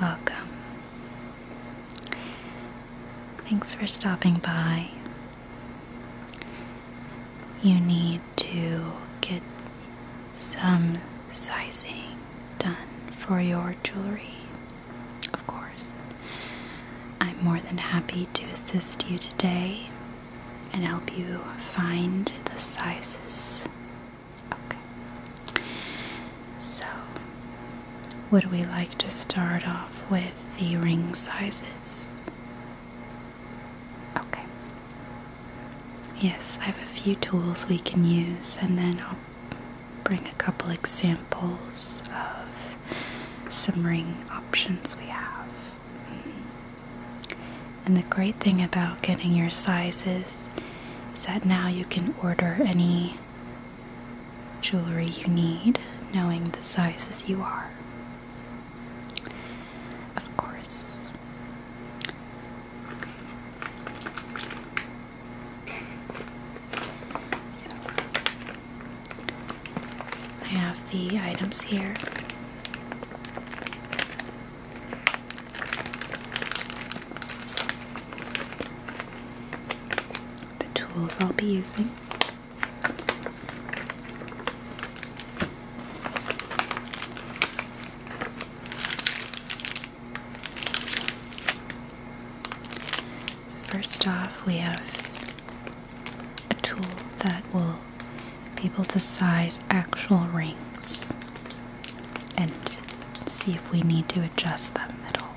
Welcome. Thanks for stopping by. You need to get some sizing done for your jewelry, of course. I'm more than happy to assist you today and help you find the sizes Okay. So, would we like to start off with the ring sizes? Okay. Yes, I have a few tools we can use, and then I'll bring a couple examples of some ring options we have. Mm-hmm. And the great thing about getting your sizes is that now you can order any jewelry you need, knowing the sizes you are. Of course. I have the items here. The tools I'll be using. First off, we have a tool that will be able to size actual rings and see if we need to adjust that middle.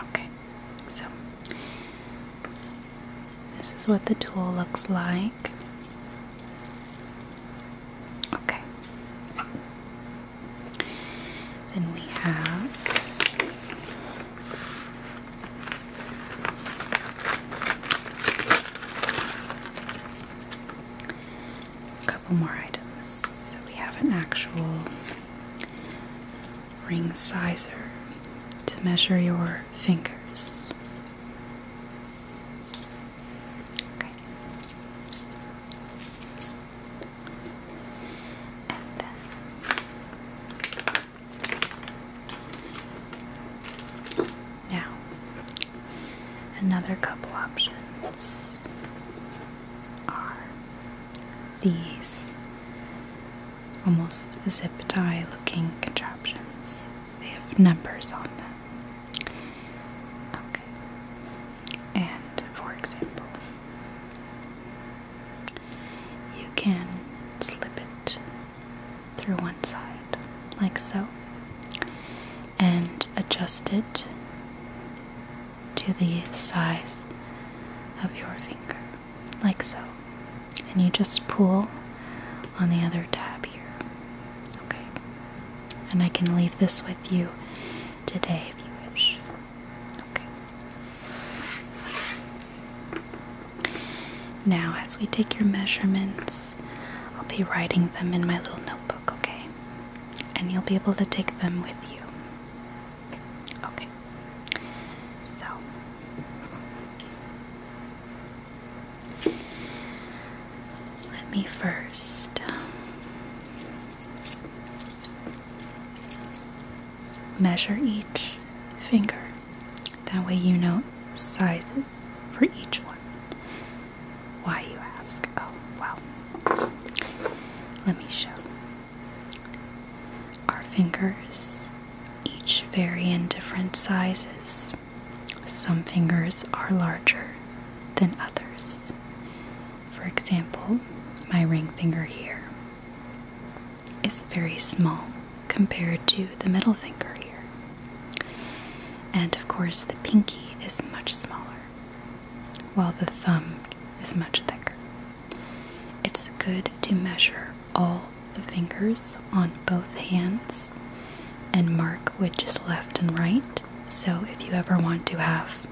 Okay. Okay so this is what the tool looks like. Okay. Then we have more items. So we have an actual ring sizer to measure your fingers. Okay. then now, another couple options are these almost zip tie looking contraptions. They have numbers on them. Okay. And for example, you can slip it through one side, like so, and adjust it to the size of your finger, like so. And you just pull on the other tab here. Okay. And I can leave this with you today if you wish. Okay. Now, as we take your measurements, I'll be writing them in my little notebook, okay? And you'll be able to take them with you. Okay. So let me first um, measure each finger. That way you know sizes for each one. Why you ask? Oh, wow. Let me show. Our fingers, each vary in different sizes. Some fingers are larger than others. For example, my ring finger here is very small compared to the middle finger here. And of course, the pinky is much smaller, while the thumb is much thicker. It's good to measure all the fingers on both hands and mark which is left and right. So, if you ever want to have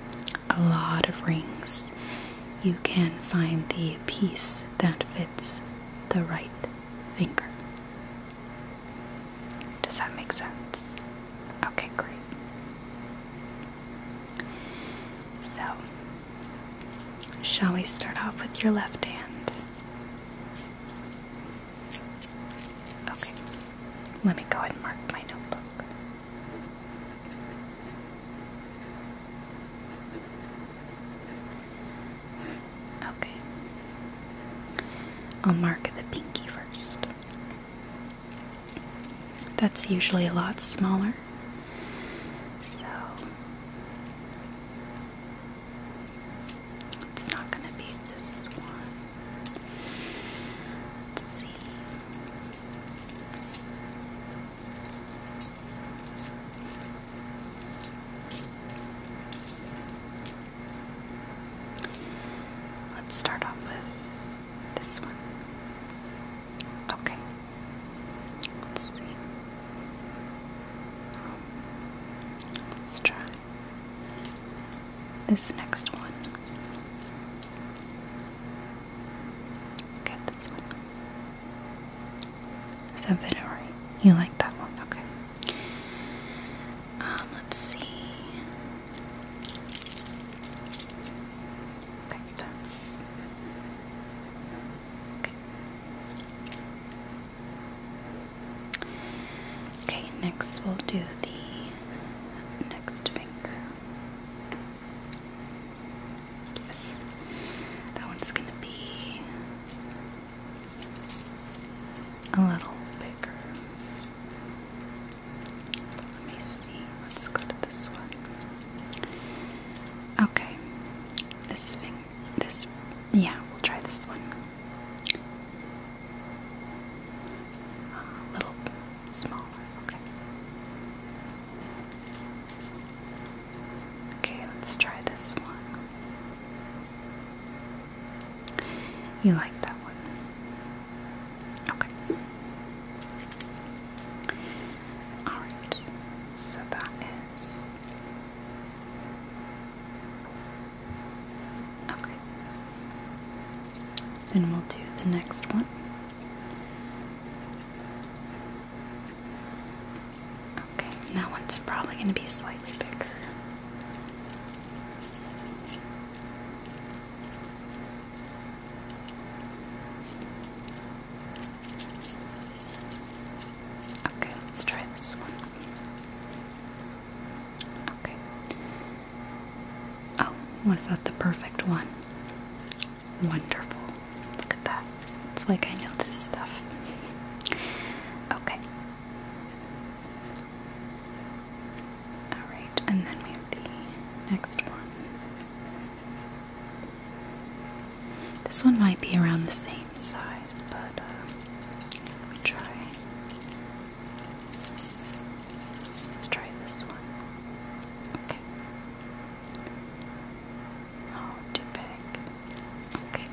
a lot of rings, you can find the piece that fits the right finger. Does that make sense? Okay, great. So, shall we start off with your left hand? Okay, let me go ahead and mark my notebook. Okay, I'll mark the pinky first. That's usually a lot smaller. So it's not going to be this one. Let's start off with this one. Okay. Let's see. Let's try this next one. Get this one. Is that better? You like that one? Okay. Um, let's see. Okay, Okay, next we'll do the next finger. Yes, that one's gonna be a little bigger. Let me see. Let's go to this one. Okay. This thing. This. Yeah, we'll try this one. A uh, little smaller. Okay. Okay, let's try this one. You like that one. Okay. Alright. So that is. Okay. Then we'll do the next one. Okay, that one's probably going to be slightly bigger. Okay, let's try this one. Okay. Oh, was that the perfect one? Wonderful. Look at that. It's like I know this stuff. Okay. Alright, and then we have the next one. This one might be around the same size, but um, let me try. Let's try this one. Okay. Oh, too big. Okay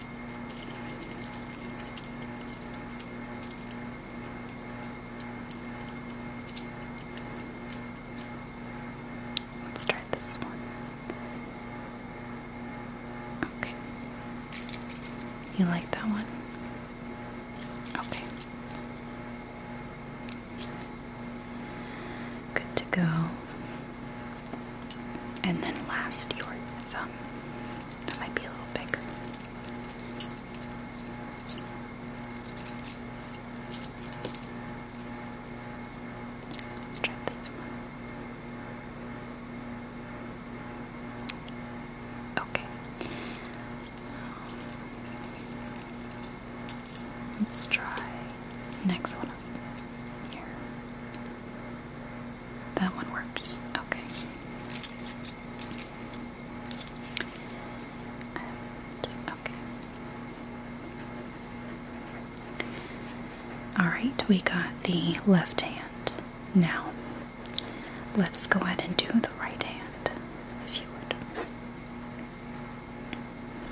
let this one. Okay. You like that one? Okay. Good to go. And then last, your thumb. That might be a little bigger. Let's try Okay. Let's try next one here. That one works. Okay okay. Alright, we got the left hand. Now, let's go ahead and do the right hand, if you would.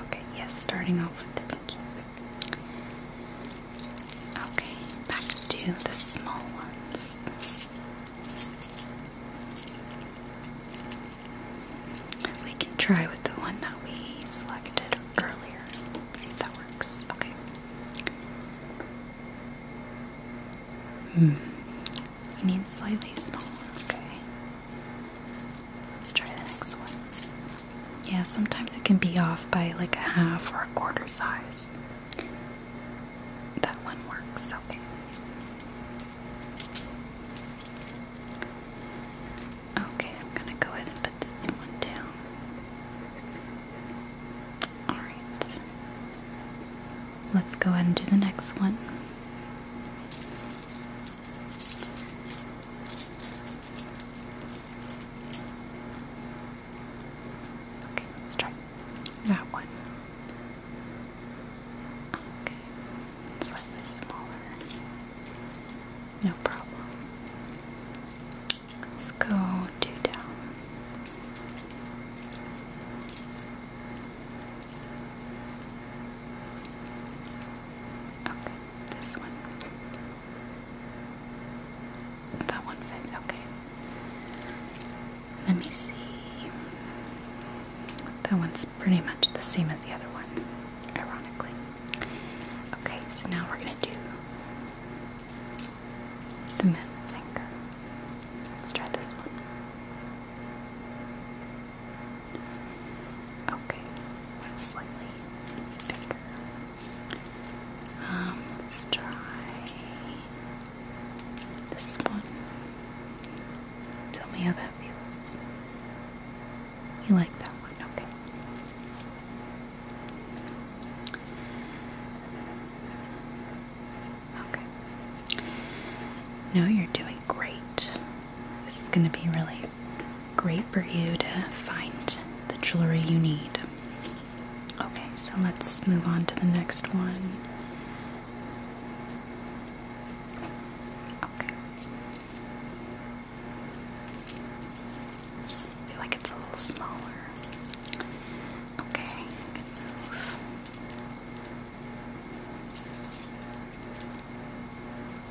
Okay, yes, starting off with the pinky. Okay, back to the small ones. We can try with the one that we selected earlier. See if that works. Okay. Hmm. We need slightly smaller. Okay. Let's try the next one. Yeah, sometimes it can be off by like a half or a quarter size. That one works, okay. Okay, I'm gonna go ahead and put this one down. Alright. Let's go ahead and do the next one. Okay, let's try that one. Okay. Slightly smaller. No problem. Let's go two down. Okay, this one. That one fit, okay. Let me see. That one's pretty much the same as the other one, ironically. Okay, so now we're gonna do the middle finger. Let's try this one. Okay, slightly bigger. Um, let's try this one. Tell me how that feels. You like that one, okay. Okay. No, you're doing great. This is going to be really great for you to find the jewelry you need. Okay, so let's move on to the next one. Okay. feel like it's a little smaller. Okay,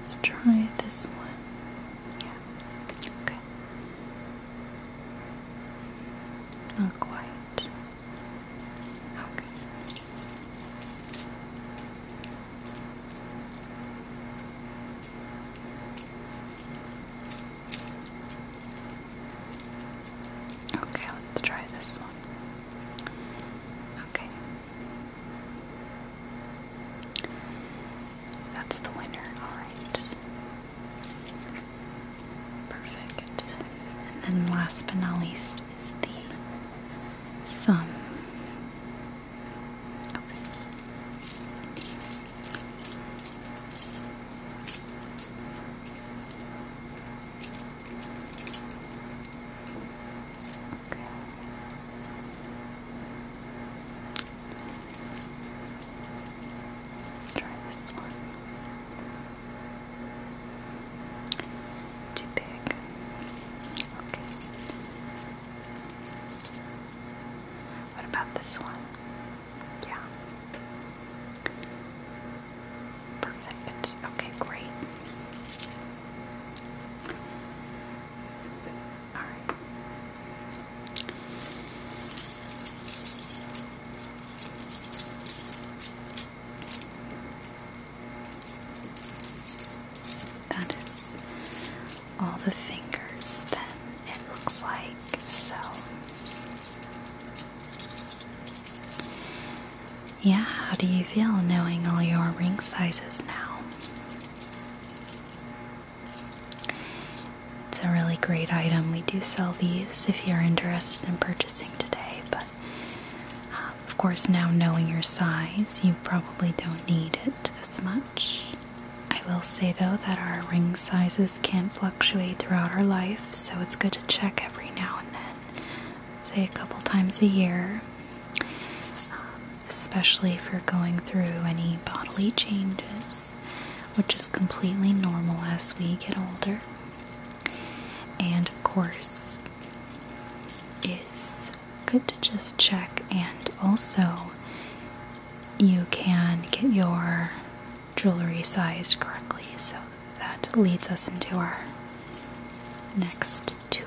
Let's try this one. Yeah. Okay. Not quite. Okay. let's try this one. Okay. That's the winner, alright. Perfect. And then last but not least is the thumb. Let's try this one. Too big. Okay. What about this one? Yeah. Perfect. Okay, great. All right. That is all the fingers then it looks like so yeah, how do you feel knowing all your ring sizes now? It's a really great item. We do sell these if you're interested in purchasing today, but um, of course, now knowing your size, you probably don't need it as much. I will say though that our ring sizes can not fluctuate throughout our life, so it's good to check every now and then, say a couple times a year, um, especially if you're going through any bodily changes which is completely normal as we get older. And of course, it's good to just check and also you can get your jewelry sized correctly. So that leads us into our next tool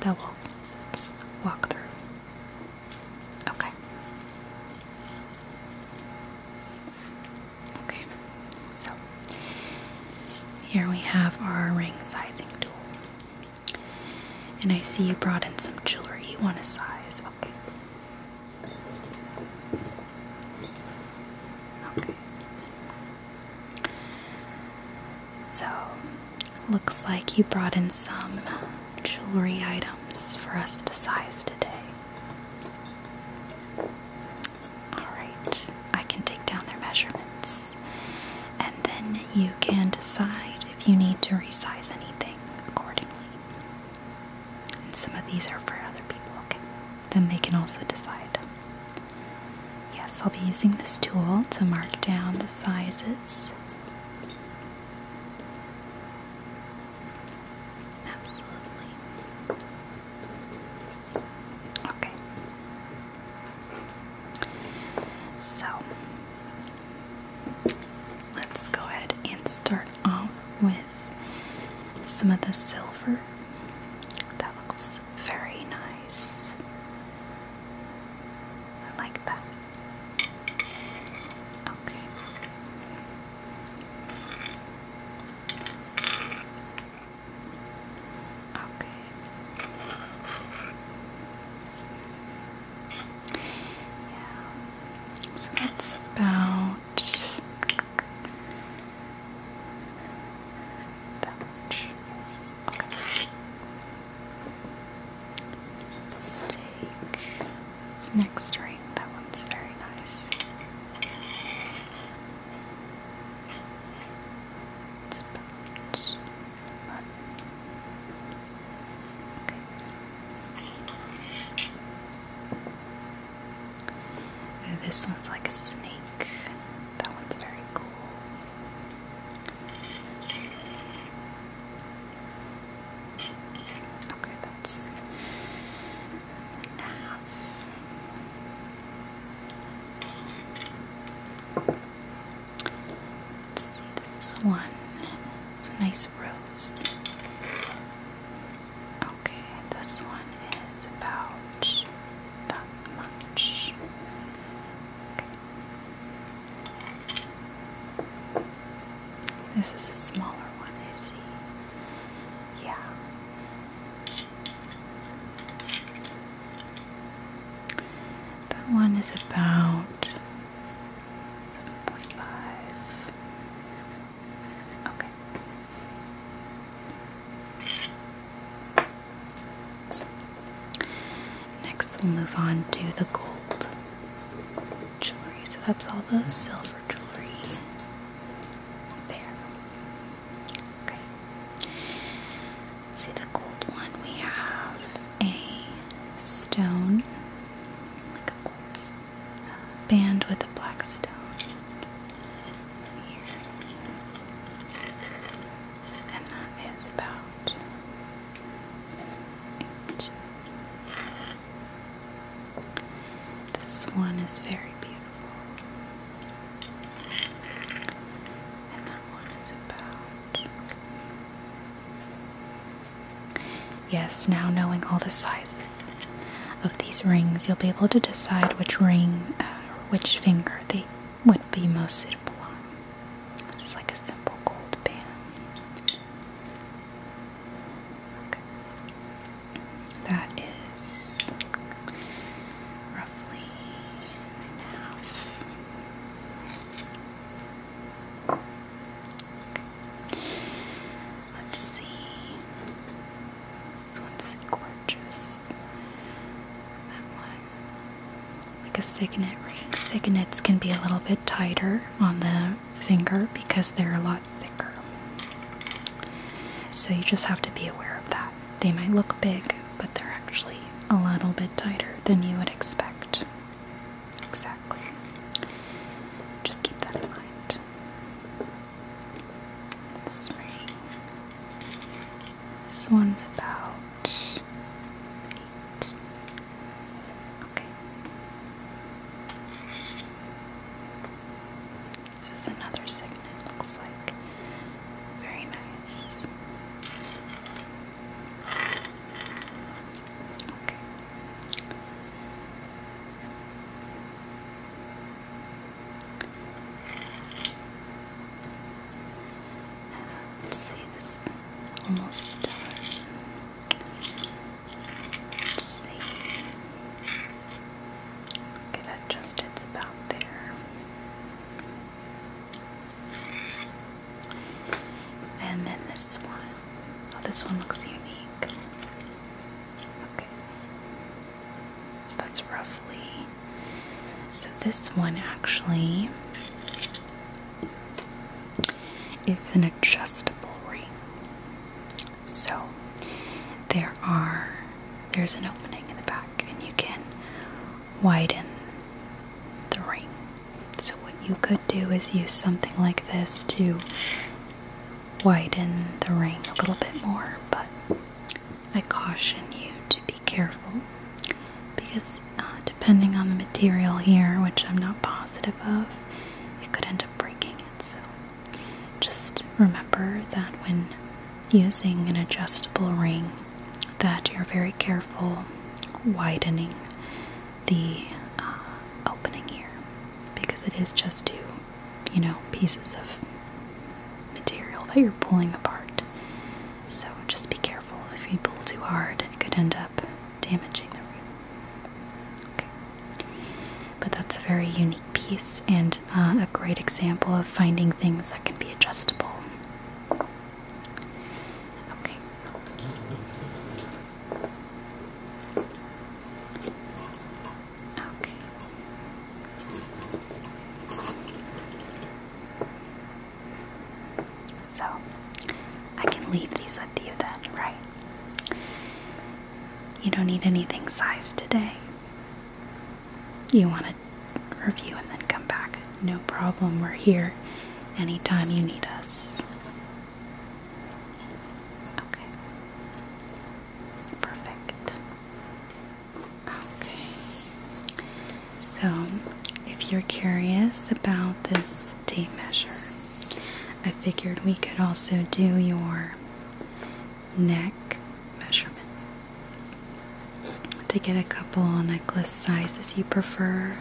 that we'll walk through. Okay. Okay, so here we have our ring sizing tool. And I see you brought in some jewelry. You want to size. Okay. Okay. So, looks like you brought in some jewelry items for us to size today. Alright, I can take down their measurements. And then you can decide if you need to resize anything accordingly. And some of these are for other people, okay? Then they can also decide. Yes, I'll be using this tool to mark down the sizes Absolutely. Okay. So let's go ahead and start off with some of the silver. That looks very nice. I like that. Okay. Okay. Yeah. So that's about that much. Okay. let it's neck string. That one's very nice. Oh, this one's like a snake. That one's very cool. Okay, that's and a this one It's a nice rose. Okay, this one is about that much. Okay. This is a smaller one, I see. Yeah. That one is about 7.5. Okay. Next, we'll move on to the gold jewelry. So that's all the silver there. Okay. see the gold one. We have a stone, like a gold uh, band with a black stone. And that is about. Inch. This one is very beautiful. And that one is about. Yes, now knowing all the sizes of these rings, you'll be able to decide which ring, uh, which finger they would be most suitable on. This is like a simple gold band. Okay. That is roughly nine and a half. Let's see. This one's gorgeous. That one. Like a signet ring. Signets can be a little bit tighter on the finger because they're a lot thicker. So you just have to be aware of that. They might look big, but they're actually a little bit tighter than you would expect. Exactly. Just keep that in mind. This This one's about eight. Okay. This is another signet, looks like. Very nice. Okay. let's see this almost done. Let's see. Okay, that just it's about there. And then this one. Oh, this one looks unique. Okay. So that's roughly. So this one actually it's an adjustable ring. So there are there's an opening in the back and you can widen the ring. So what you could do is use something like this to widen the ring a little bit more, but I caution you to be careful because uh, depending on the material here, which I'm not positive of, it could end up breaking it. So just remember that when using an adjustable ring that you're very careful widening the uh, opening here because it is just two, you know, pieces of material that you're pulling apart. So just be careful. If you pull too hard, it could end up damaging the root. Okay. But that's a very unique piece and uh, a great example of finding things that can be adjustable. Okay. Okay. So I can leave these with you then, right? You don't need anything sized today. You want to review and then come back. No problem, we're here anytime you need us. Okay. Perfect. Okay. So, if you're curious about this tape measure, I figured we could also do your neck measurement to get a couple necklace sizes you prefer,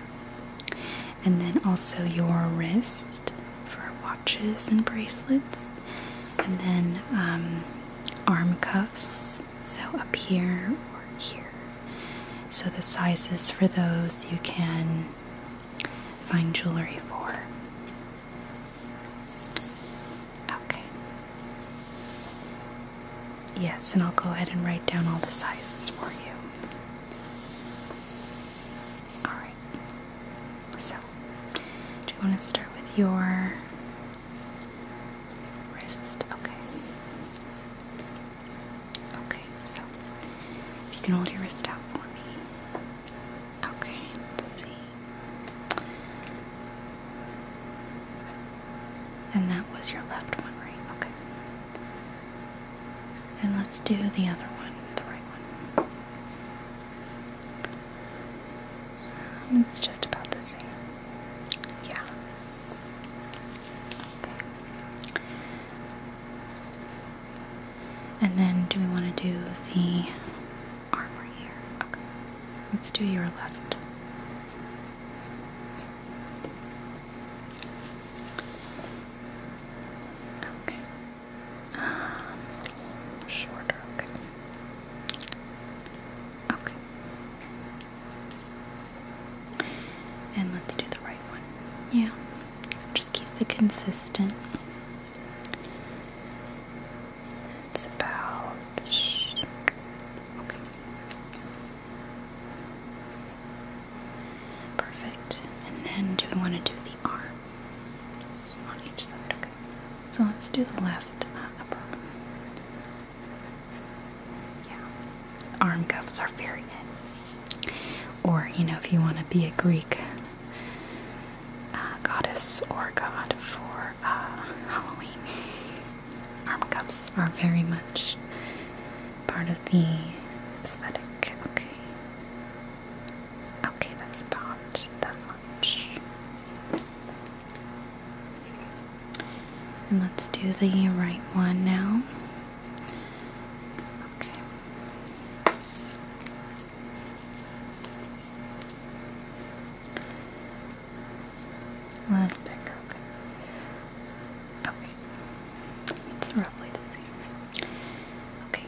and then also your wrist for watches and bracelets, and then um, arm cuffs, so up here or here. So the sizes for those you can Find jewelry for. Okay. Yes, and I'll go ahead and write down all the sizes for you. Alright. So, do you want to start with your wrist? Okay. Okay, so if you can hold your wrist out for me. Okay, let's see. And that was your left one, right? Okay. And let's do the other one, the right one. Um, it's just about the same. Yeah. And then do we want to do the armor here? Let's do your left. Okay. Um, shorter, okay. Okay. And let's do the right one. Yeah. Just keeps it consistent. It's about Perfect. And then do we want to do the arm? on each side, okay. So let's do the left uh, Yeah arm cuffs are very in. Or, you know, if you want to be a Greek uh, goddess or god for uh, Halloween, arm cuffs are very much part of the aesthetic. Okay. Okay, that's about that much. And let's do the right one now. Okay. A little bigger, okay. Okay. It's roughly the same. Okay.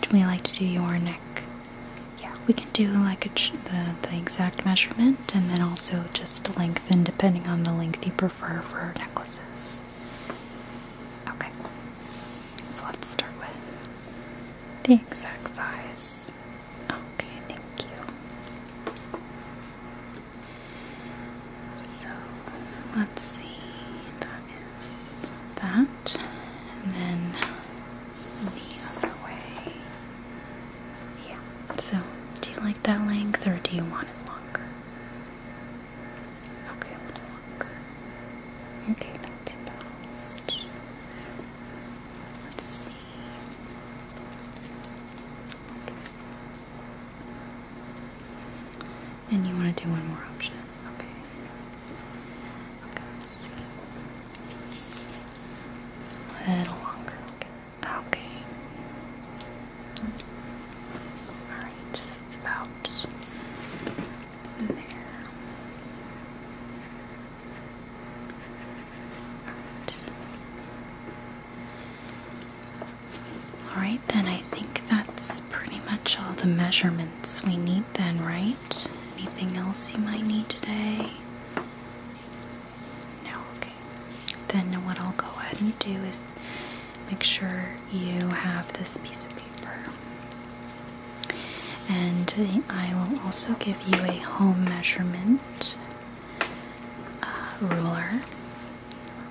Would we like to do your neck? Yeah, we can do like the, the exact measurement and then also just length then, depending on the length you prefer for necklaces. Okay, so let's start with the exact size. Okay, thank you. So let's see, that is that, and then the other way. Yeah. So, do you like that length or do you want it longer? Okay, a little longer. Okay, that's about. Let's see. And you want to do one more option. Okay. Okay. A little longer. Okay. Okay. Alright, so about there. Alright, then I think that's pretty much all the measurements we need, then, right? Anything else you might need today? okay. Then what I'll go ahead and do is make sure you have this piece of paper. And I will also give you a home measurement uh, ruler.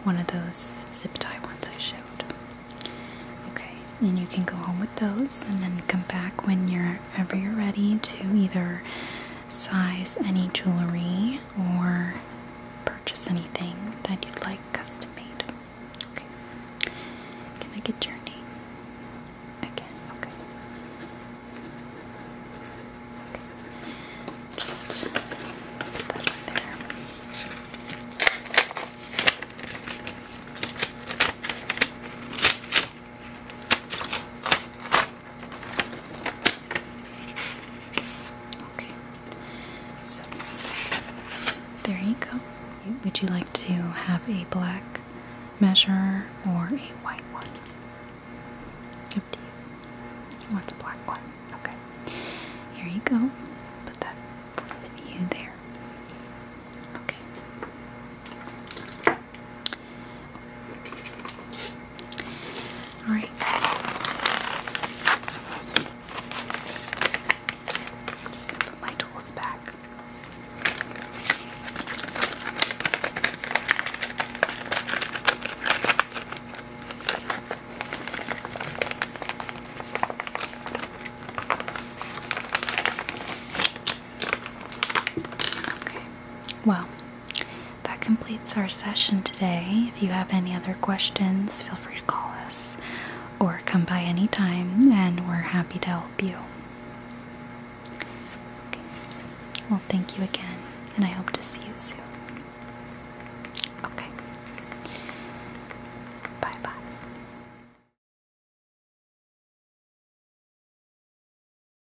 One of those zip tie ones I showed. Okay, and you can go home with those and then come back when you're ever you're ready to either size any jewelry or purchase anything that you'd like custom made. Okay. Can I get your Again, okay. Just there. Okay. So there you go. Would you like to have a black measure or a white one? Up want the black one. Okay. Here you go. Put that you there. Okay. All just going to put my tools back. Okay. Well, that completes our session today. If you have any other questions, feel free to call us or come by anytime, and we're happy to help you. Okay. Well, thank you again, and I hope to see you soon. Okay. Bye bye.